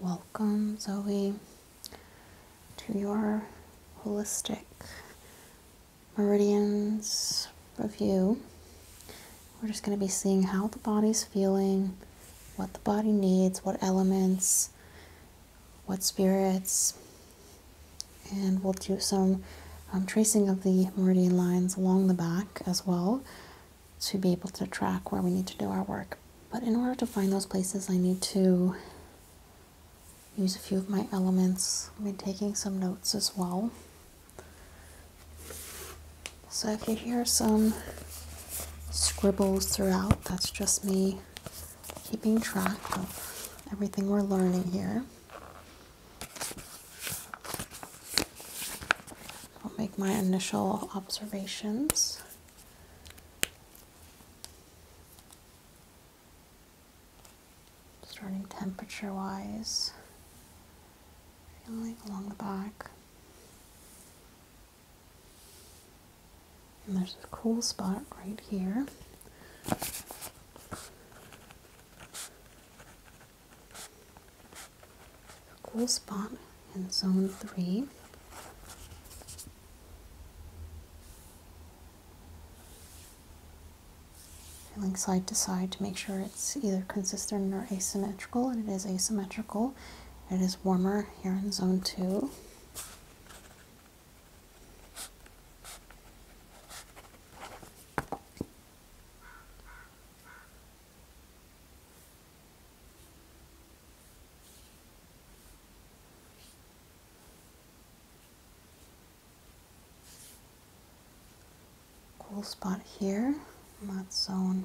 Welcome, Zoe, to your holistic meridians review. We're just going to be seeing how the body's feeling, what the body needs, what elements, what spirits, and we'll do some um, tracing of the meridian lines along the back as well to be able to track where we need to do our work. But in order to find those places, I need to use a few of my elements. i am taking some notes as well. So if you hear some scribbles throughout, that's just me keeping track of everything we're learning here. I'll make my initial observations. Starting temperature wise, feeling along the back. And there's a cool spot right here cool spot in zone three. Feeling side to side to make sure it's either consistent or asymmetrical, and it is asymmetrical. It is warmer here in zone two. Cool spot here, not zone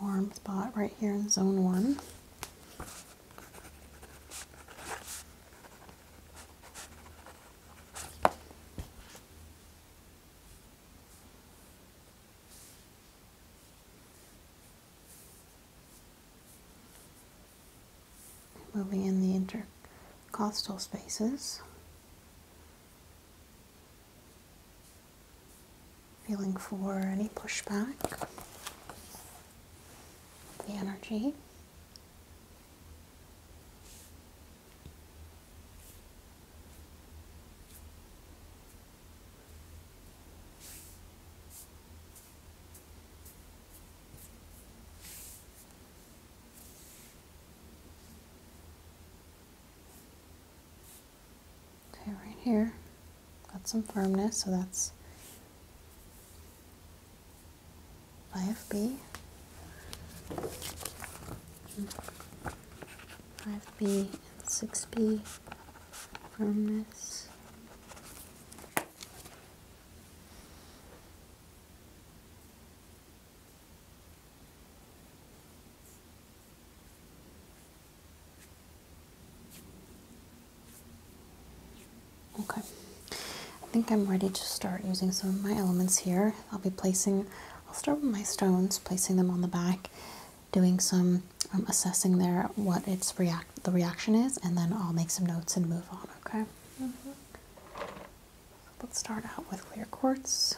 warm spot right here in zone one. Moving in the intercostal spaces feeling for any pushback, the energy. Okay, right here. Got some firmness, so that's 5B. 5B and 6B firmness. Okay, I think I'm ready to start using some of my elements here. I'll be placing, I'll start with my stones, placing them on the back, doing some um, assessing there what its react the reaction is, and then I'll make some notes and move on. Okay. Mm-hmm. let's start out with clear quartz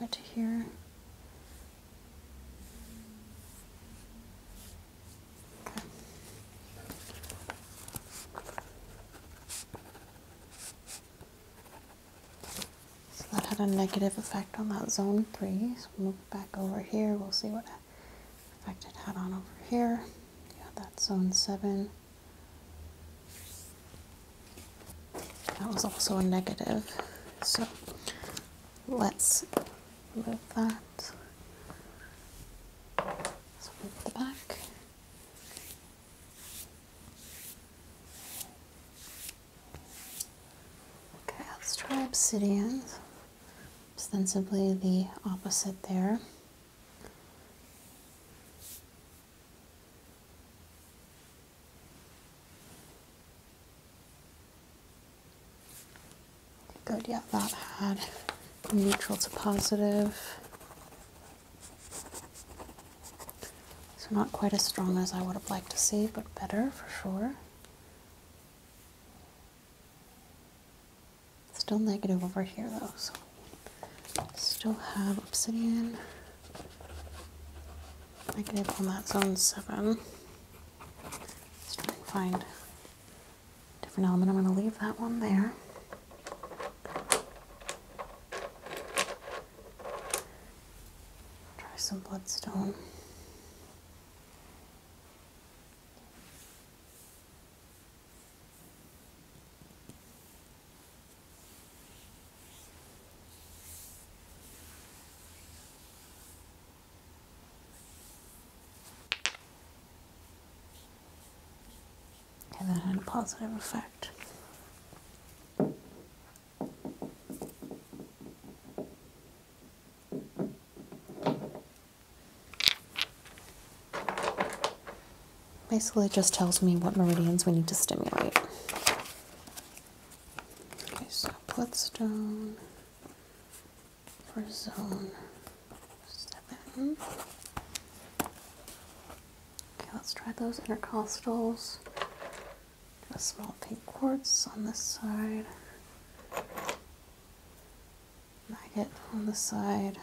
over here. So that had a negative effect on that zone three. So move back over here. We'll see what in fact, it had on over here. Yeah, that's zone seven. That was also a negative. So let's remove that. Let's move the back. Okay, let's try obsidian. Ostensibly the opposite there. Good, yeah, that had neutral to positive. So not quite as strong as I would have liked to see, but better for sure. Still negative over here though, so still have obsidian. Negative on that zone 7. Let's try and find different element. I'm going to leave that one there. Try some bloodstone. And that had a positive effect. Basically just tells me what meridians we need to stimulate. Okay, so bloodstone for zone seven. Okay, let's try those intercostals. a small pink quartz on this side, maggot on the side.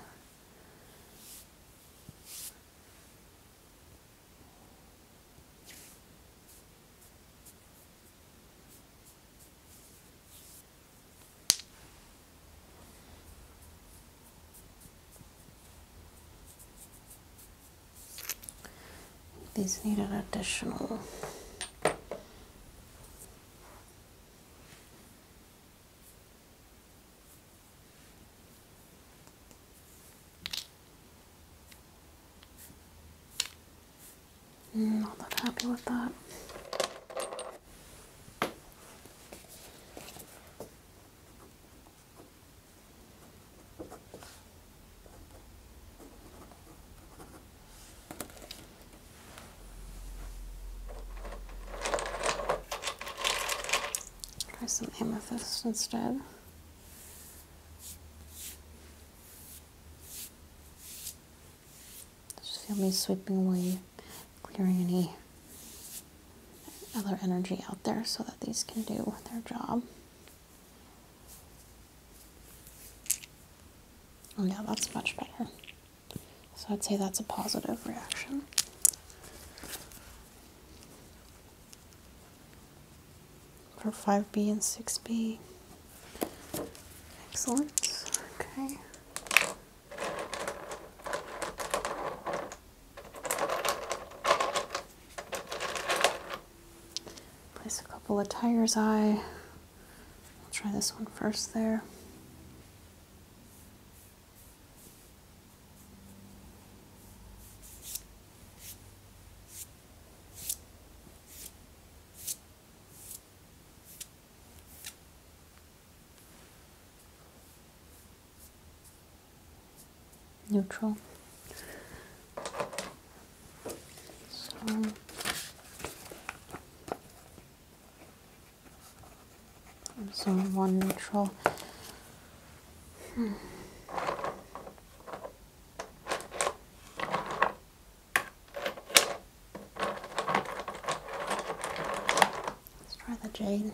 These need an additional Mm, not that happy with that. Try some amethyst instead. Just feel me sweeping away, clearing any other energy out there so that these can do their job. Oh yeah, that's much better. So I'd say that's a positive reaction. For 5B and 6B. Excellent. Okay. Place a couple of tires eye. I'll try this one first there neutral. So so one neutral. Hmm. Let's try the jade.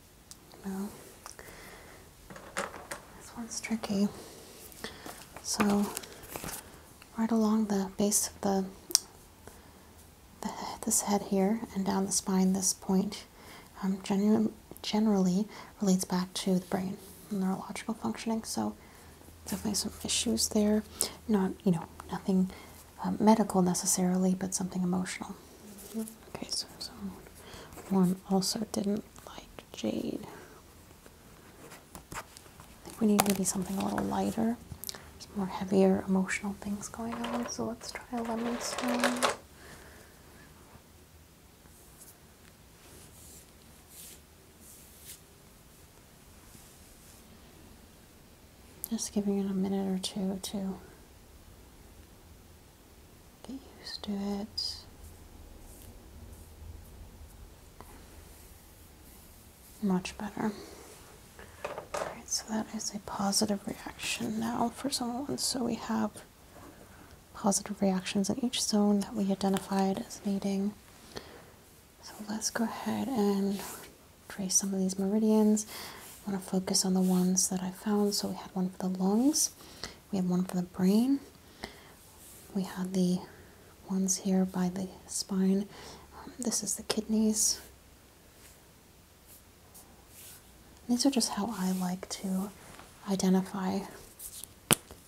No. This one's tricky. So, right along the base of the, the this head here and down the spine, this point um, genu generally relates back to the brain neurological functioning. So, definitely some issues there. Not, you know, nothing um, medical necessarily, but something emotional. Mm-hmm. Okay, so one also didn't like jade. I think we need maybe something a little lighter. There's more heavier emotional things going on, so let's try a lemon stone. Just giving it a minute or two to get used to it. Much better. Alright, so that is a positive reaction now for someone. So we have positive reactions in each zone that we identified as needing. So let's go ahead and trace some of these meridians. I want to focus on the ones that I found. So we had one for the lungs we have one for the brain. We have the ones here by the spine. Um, this is the kidneys. These are just how I like to identify.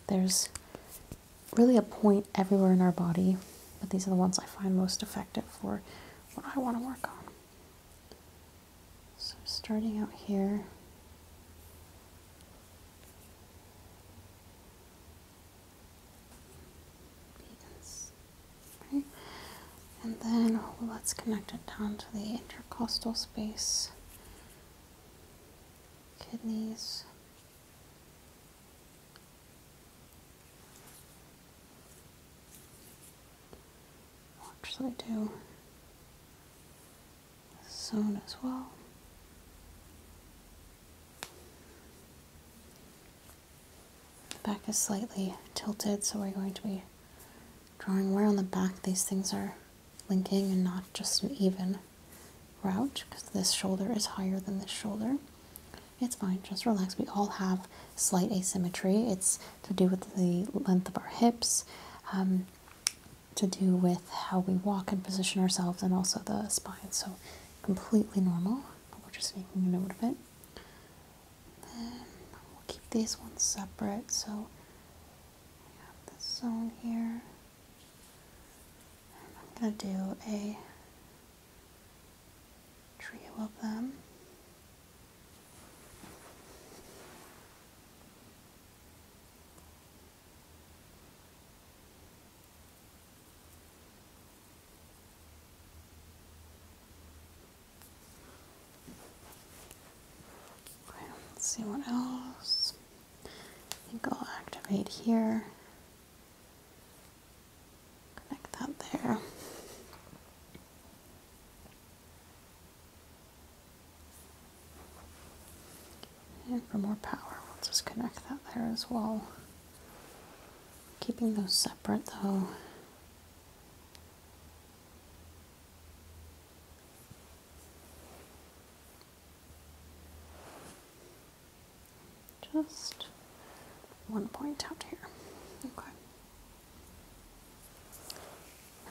There's really a point everywhere in our body, but these are the ones I find most effective for what I want to work on. So starting out here, And then let's connect it down to the intercostal space, kidneys. What should I do? zone as well. The back is slightly tilted, so we're going to be drawing where on the back these things are linking and not just an even route because this shoulder is higher than this shoulder. It's fine, just relax. We all have slight asymmetry. It's to do with the length of our hips, um, to do with how we walk and position ourselves and also the spine. So completely normal. We're just making a note of it. Then we'll keep these ones separate. So we have this zone here. I'm going to do a trio of them see what else. I think I'll activate here. Connect that there. And for more power, we'll just connect that there as well. Keeping those separate though. Just one point out here. Okay.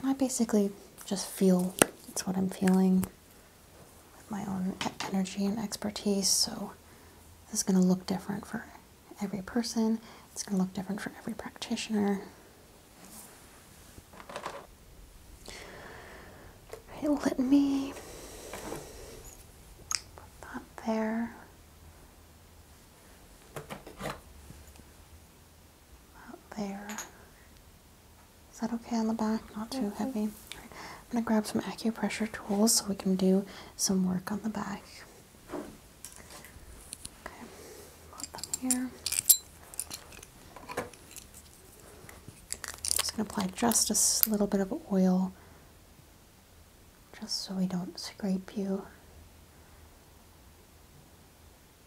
And I basically just feel it's what I'm feeling with my own energy and expertise. So this is going to look different for every person. It's going to look different for every practitioner. let me put that there. About there. Is that okay on the back? Not too heavy. I'm going to grab some acupressure tools so we can do some work on the back. Okay, put them here. Just going to apply just a little bit of oil just so we don't scrape you.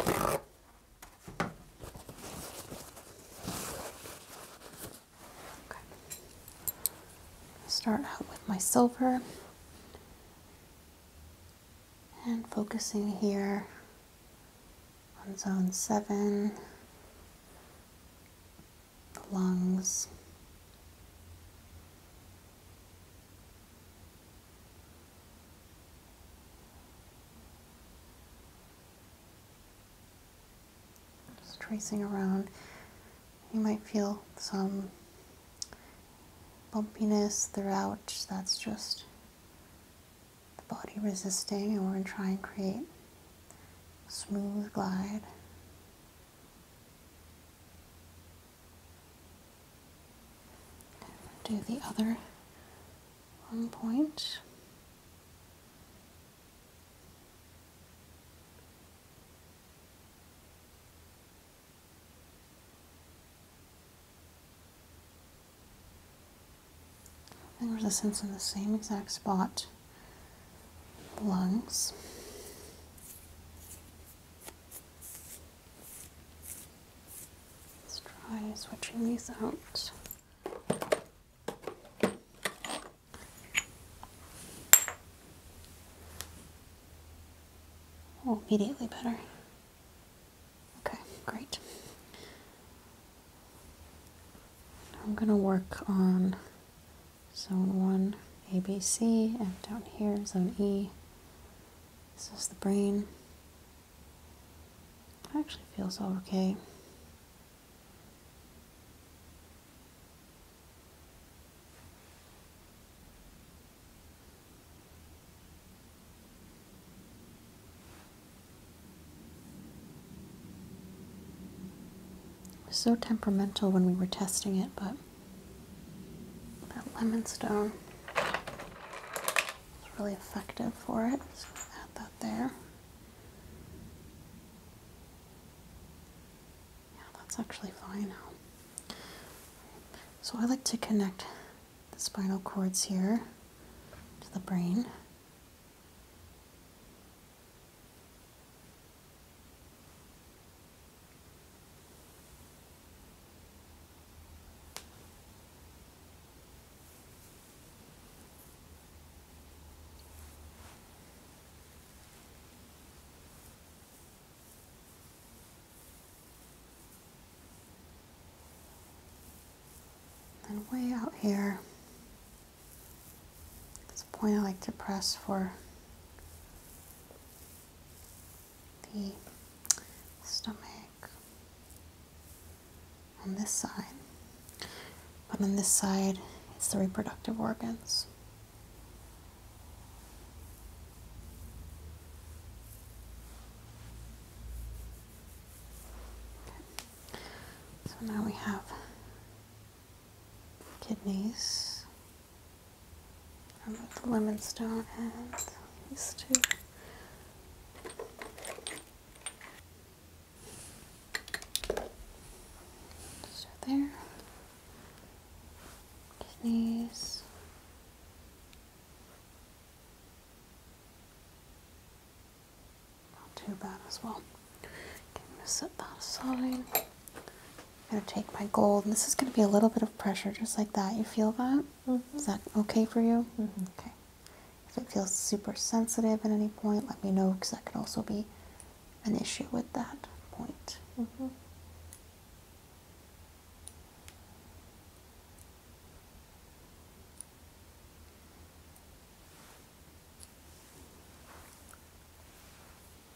Okay. Start out with my silver and focusing here on zone seven the lungs. tracing around. You might feel some bumpiness throughout. That's just the body resisting, and we're going to try and create a smooth glide do the other one point. Resistance in the same exact spot lungs. Let's try switching these out. Oh, immediately better. Okay, great. I'm going to work on zone 1 ABC, and down here, zone E. This is the brain. actually feels okay so temperamental when we were testing it, but that lemon stone is really effective for it. So add that there. Yeah, that's actually fine now. So I like to connect the spinal cords here to the brain. And way out here, it's a point, I like to press for the stomach on this side. But on this side, it's the reproductive organs. So now we have kidneys, I'll let the lemon stone and these two. So there. These. Not too bad as well. Gonna set that aside. I'm going to take my gold, this is going to be a little bit of pressure, just like that. You feel that? Mm-hmm. Is that okay for you? Mm-hmm. Okay. If it feels super sensitive at any point, let me know, because that could also be an issue with that point. Mm-hmm.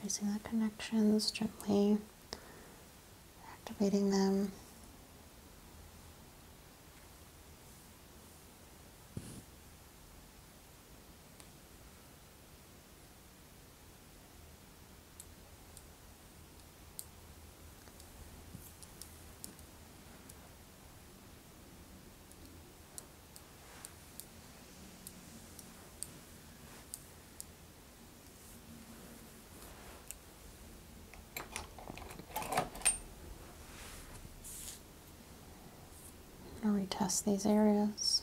Tracing the connections gently, activating them. I'm going to retest these areas.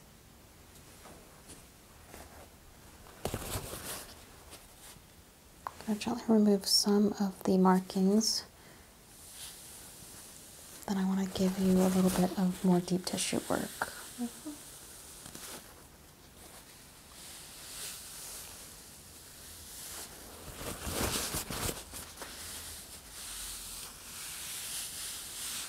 I'm going to gently remove some of the markings. Then I want to give you a little bit of more deep tissue work.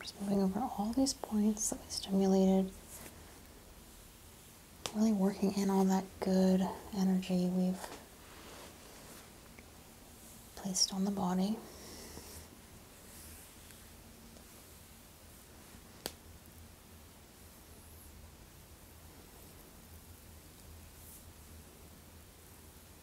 Just moving over all these points that we stimulated. Really working in all that good energy we've placed on the body.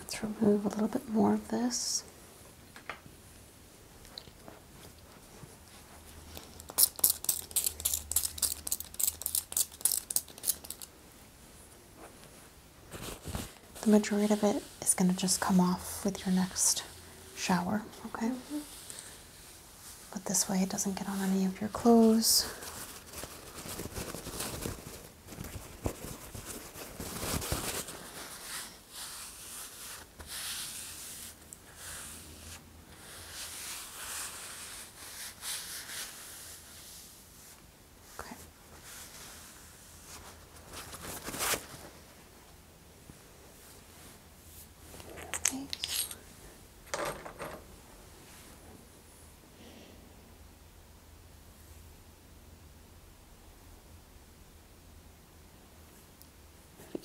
Let's remove a little bit more of this. The majority of it is going to just come off with your next shower, okay? But this way it doesn't get on any of your clothes. Okay.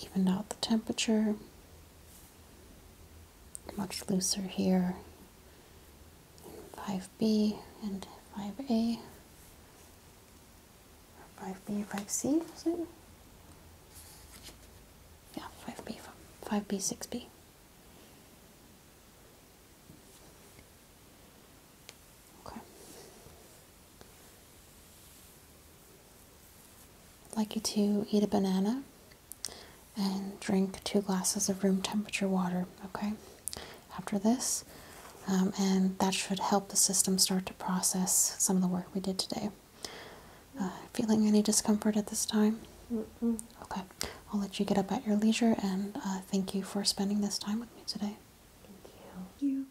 Even out the temperature much looser here 5b and 5a 5b 5c is it yeah 5b 5b 6b okay like you to eat a banana and drink two glasses of room temperature water, okay, after this. Um, and that should help the system start to process some of the work we did today. Uh, feeling any discomfort at this time? Okay, I'll let you get up at your leisure and uh, thank you for spending this time with me today. Thank you. Thank you.